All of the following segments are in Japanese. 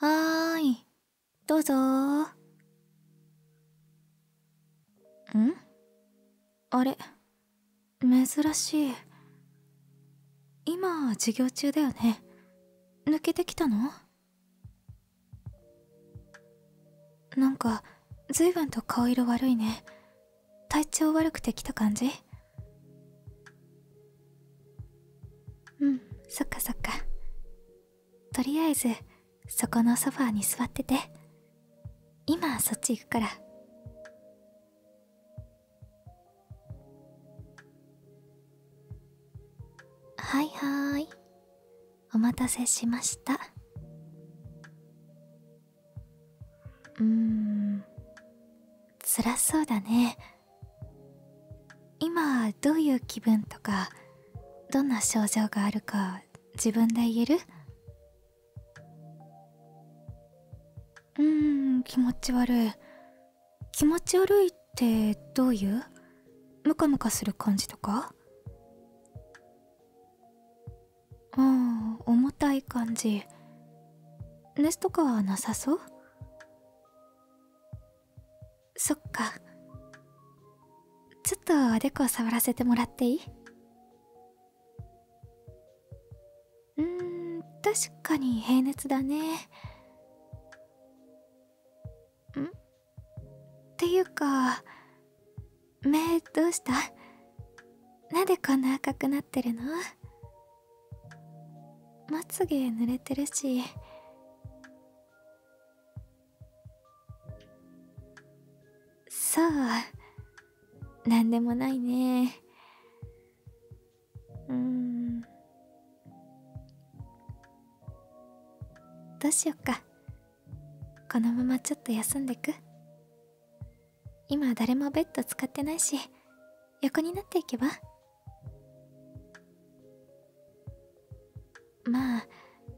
はーい、どうぞんあれ、珍しい。今、授業中だよね。抜けてきたのなんか、ずいぶんと顔色悪いね。体調悪くて来た感じうんそっかそっかとりあえずそこのソファーに座ってて今そっち行くからはいはいお待たせしましたうーん辛そうだね今どういう気分とかどんな症状があるか自分で言えるうん気持ち悪い気持ち悪いってどういうムカムカする感じとかあん重たい感じ熱とかはなさそうそっかちょっとおでこ触らせてもらっていいうん確かに平熱だねんっていうか目どうしたなんでこんな赤くなってるのまつげ濡れてるしそう何でもないねうんどうしよっかこのままちょっと休んでく今誰もベッド使ってないし横になっていけばまあ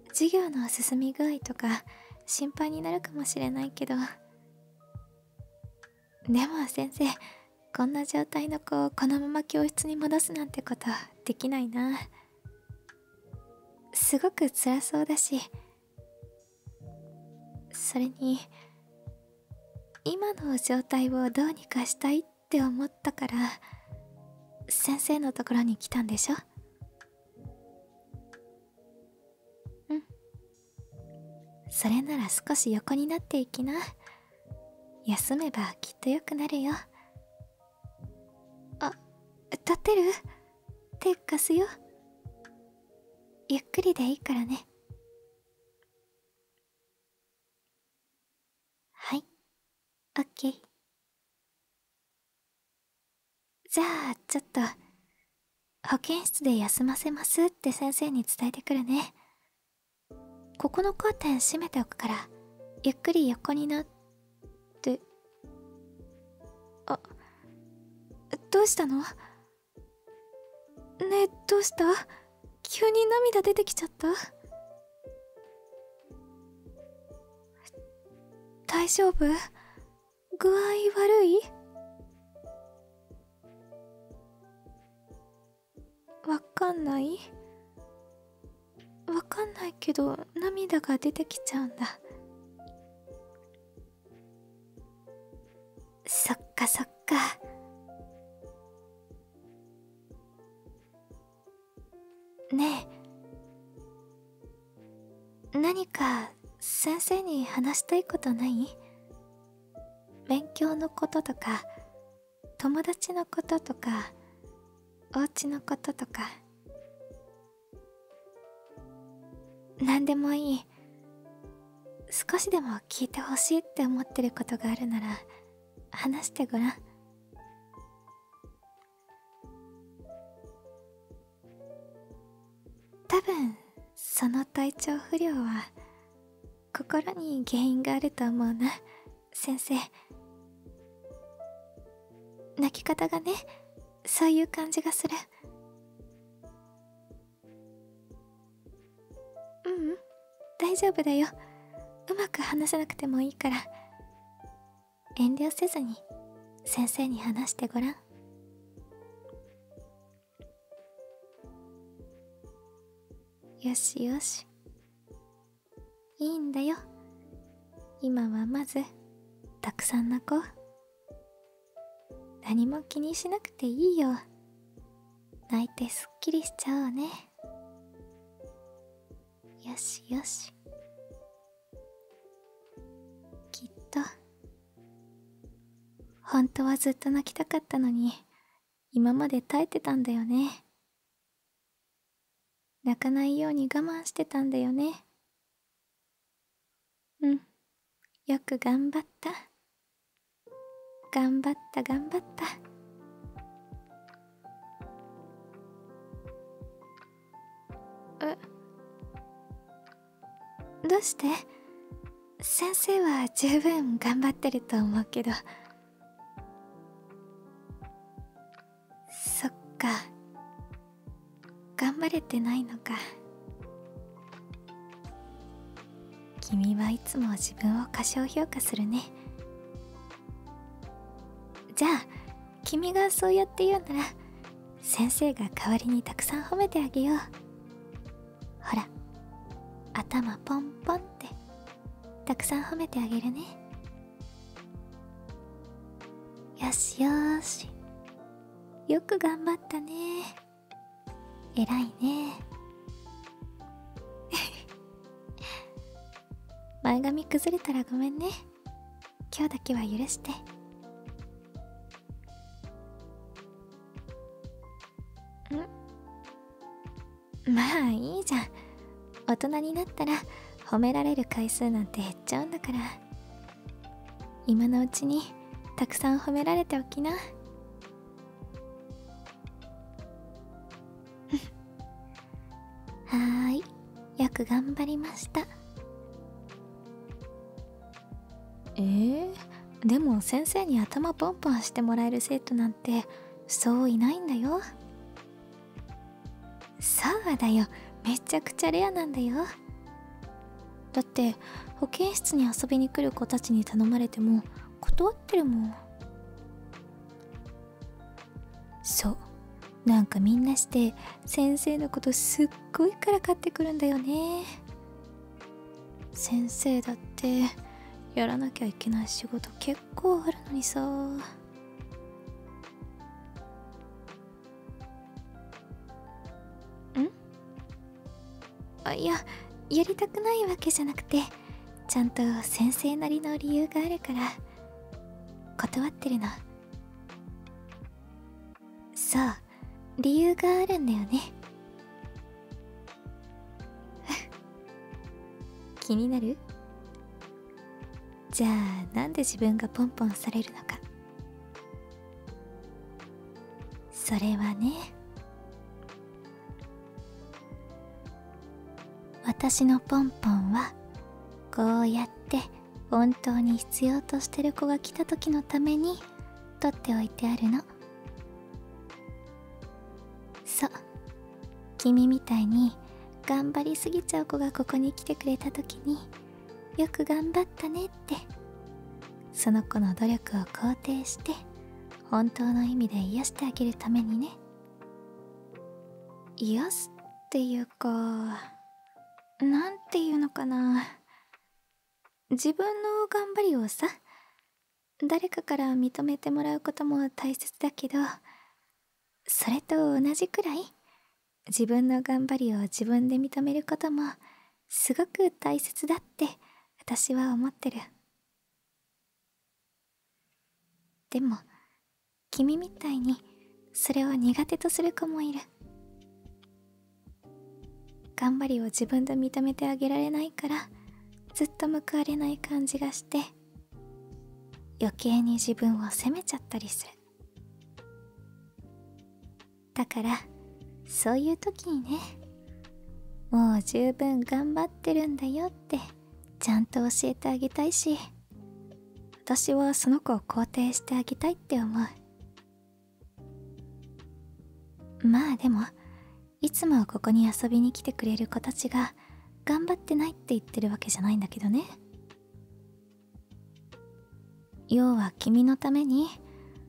授業の進み具合とか心配になるかもしれないけどでも先生こんな状態の子をこのまま教室に戻すなんてことできないなすごく辛そうだしそれに今の状態をどうにかしたいって。って思ったから先生のところに来たんでしょうんそれなら少し横になっていきな休めばきっと良くなるよあ立ってる手貸すよゆっくりでいいからねはいオッケーじゃあちょっと保健室で休ませますって先生に伝えてくるねここのカーテン閉めておくからゆっくり横になってあどうしたのねえどうした急に涙出てきちゃった大丈夫具合悪いわかんないわかんないけど涙が出てきちゃうんだそっかそっかねえ何か先生に話したいことない勉強のこととか友達のこととかお家のこととか何でもいい少しでも聞いてほしいって思ってることがあるなら話してごらん多分その体調不良は心に原因があると思うな先生泣き方がねそういう感じがするううん大丈夫だようまく話せなくてもいいから遠慮せずに先生に話してごらんよしよしいいんだよ今はまずたくさん泣こう何も気にしなくていいよ泣いてすっきりしちゃおうねよしよしきっと本当はずっと泣きたかったのに今まで耐えてたんだよね泣かないように我慢してたんだよねうんよく頑張った頑張った頑張ったえどうして先生は十分頑張ってると思うけどそっか頑張れてないのか君はいつも自分を過小評価するねじゃあ君がそうやって言うなら先生が代わりにたくさん褒めてあげようほら頭ポンポンってたくさん褒めてあげるねよしよしよく頑張ったね偉いね 前髪崩れたらごめんね今日だけは許してんまあいいじゃん大人になったら褒められる回数なんて減っちゃうんだから今のうちにたくさん褒められておきなはーいよく頑張りましたえでも先生に頭ポンポンしてもらえる生徒なんてそういないんだよそうだよめっちゃくちゃレアなんだよだって保健室に遊びに来る子たちに頼まれても断ってるもんそうなんかみんなして先生のことすっごいからかってくるんだよね先生だってやらなきゃいけない仕事結構あるのにさうんあいややりたくないわけじゃなくてちゃんと先生なりの理由があるから断ってるのそう理由があるんだよね 気になるじゃあなんで自分がポンポンされるのかそれはね私のポンポンはこうやって本当に必要としてる子が来た時のためにとっておいてあるのそう君みたいに頑張りすぎちゃう子がここに来てくれた時によく頑張ったねってその子の努力を肯定して本当の意味で癒してあげるためにね癒すっていうかなんていうのかな自分の頑張りをさ誰かから認めてもらうことも大切だけどそれと同じくらい自分の頑張りを自分で認めることもすごく大切だって私は思ってるでも君みたいにそれを苦手とする子もいる頑張りを自分で認めてあげられないからずっと報われない感じがして余計に自分を責めちゃったりするだからそういう時にねもう十分頑張ってるんだよってちゃんと教えてあげたいし私はその子を肯定してあげたいって思うまあでもいつもここに遊びに来てくれる子たちが頑張ってないって言ってるわけじゃないんだけどね要は君のために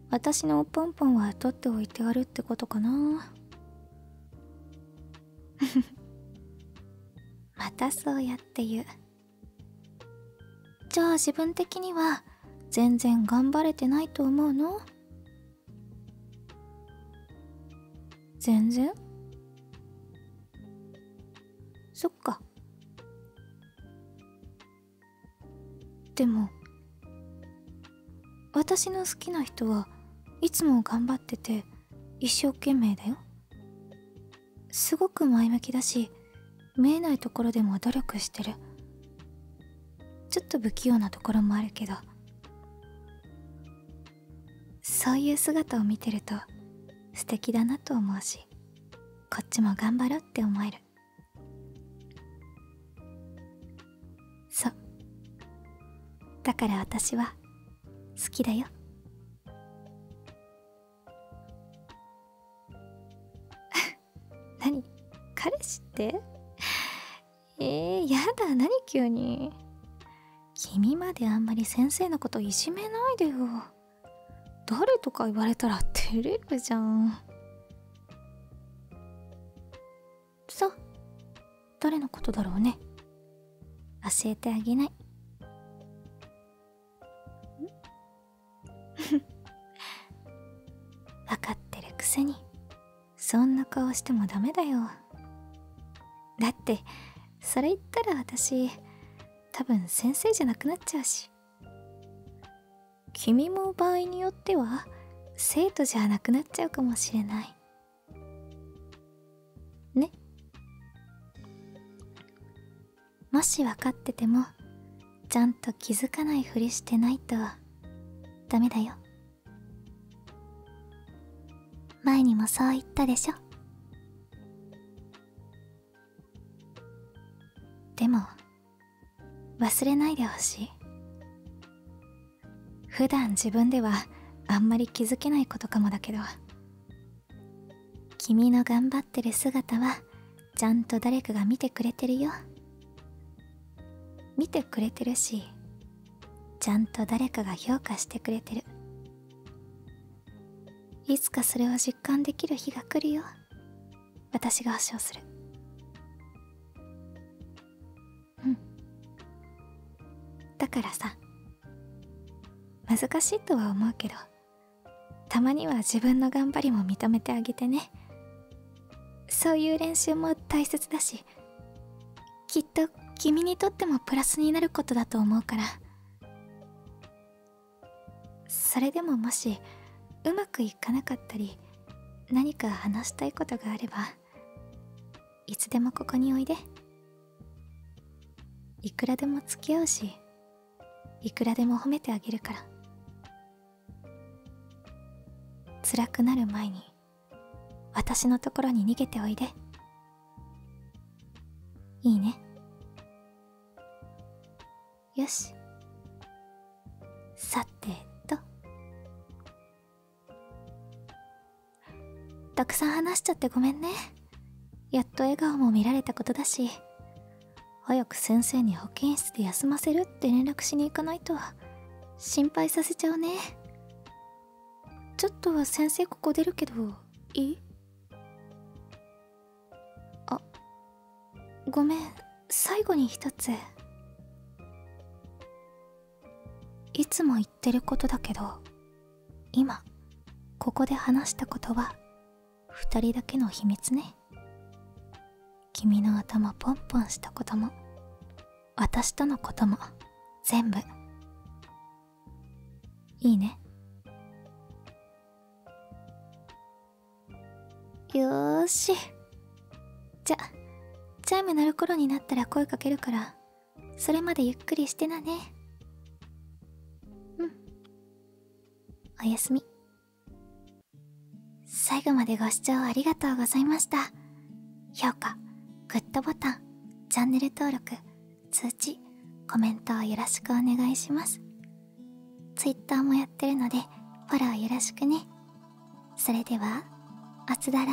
私のポンポンは取っておいてあるってことかなまたそうやって言うじゃあ自分的には全然頑張れてないと思うの全然そっかでも私の好きな人はいつも頑張ってて一生懸命だよすごく前向きだし見えないところでも努力してるちょっと不器用なところもあるけどそういう姿を見てると素敵だなと思うしこっちも頑張ろうって思えるそうだから私は好きだよ 何彼氏ってえー、やだ何急に君まであんまり先生のこといじめないでよ誰とか言われたら照れるじゃんそう誰のことだろうね教えてあげない 分かってるくせにそんな顔してもダメだよだってそれ言ったら私多分先生じゃなくなっちゃうし君も場合によっては生徒じゃなくなっちゃうかもしれないねもし分かっててもちゃんと気づかないふりしてないとダメだよ前にもそう言ったでしょでも忘れないでほしい普段自分ではあんまり気づけないことかもだけど君の頑張ってる姿はちゃんと誰かが見てくれてるよ見てくれてるしちゃんと誰かが評価してくれてるいつかそれを実感できる日が来るよ私が保証するうんだからさ難しいとは思うけどたまには自分の頑張りも認めてあげてねそういう練習も大切だしきっと君にとってもプラスになることだと思うからそれでももしうまくいかなかったり何か話したいことがあればいつでもここにおいでいくらでも付き合うしいくらでも褒めてあげるから辛くなる前に私のところに逃げておいでいいねよしさてとたくさん話しちゃってごめんねやっと笑顔も見られたことだし早く先生に保健室で休ませるって連絡しに行かないと心配させちゃうねちょっとは先生ここ出るけどいいあごめん最後に一ついつも言ってることだけど今ここで話したことは2人だけの秘密ね君の頭ポンポンしたことも私とのことも全部いいねよしじゃチャイム鳴る頃になったら声かけるからそれまでゆっくりしてなねうんおやすみ最後までご視聴ありがとうございました評価グッドボタンチャンネル登録通知コメントをよろしくお願いします Twitter もやってるのでフォローよろしくねそれではあつだらー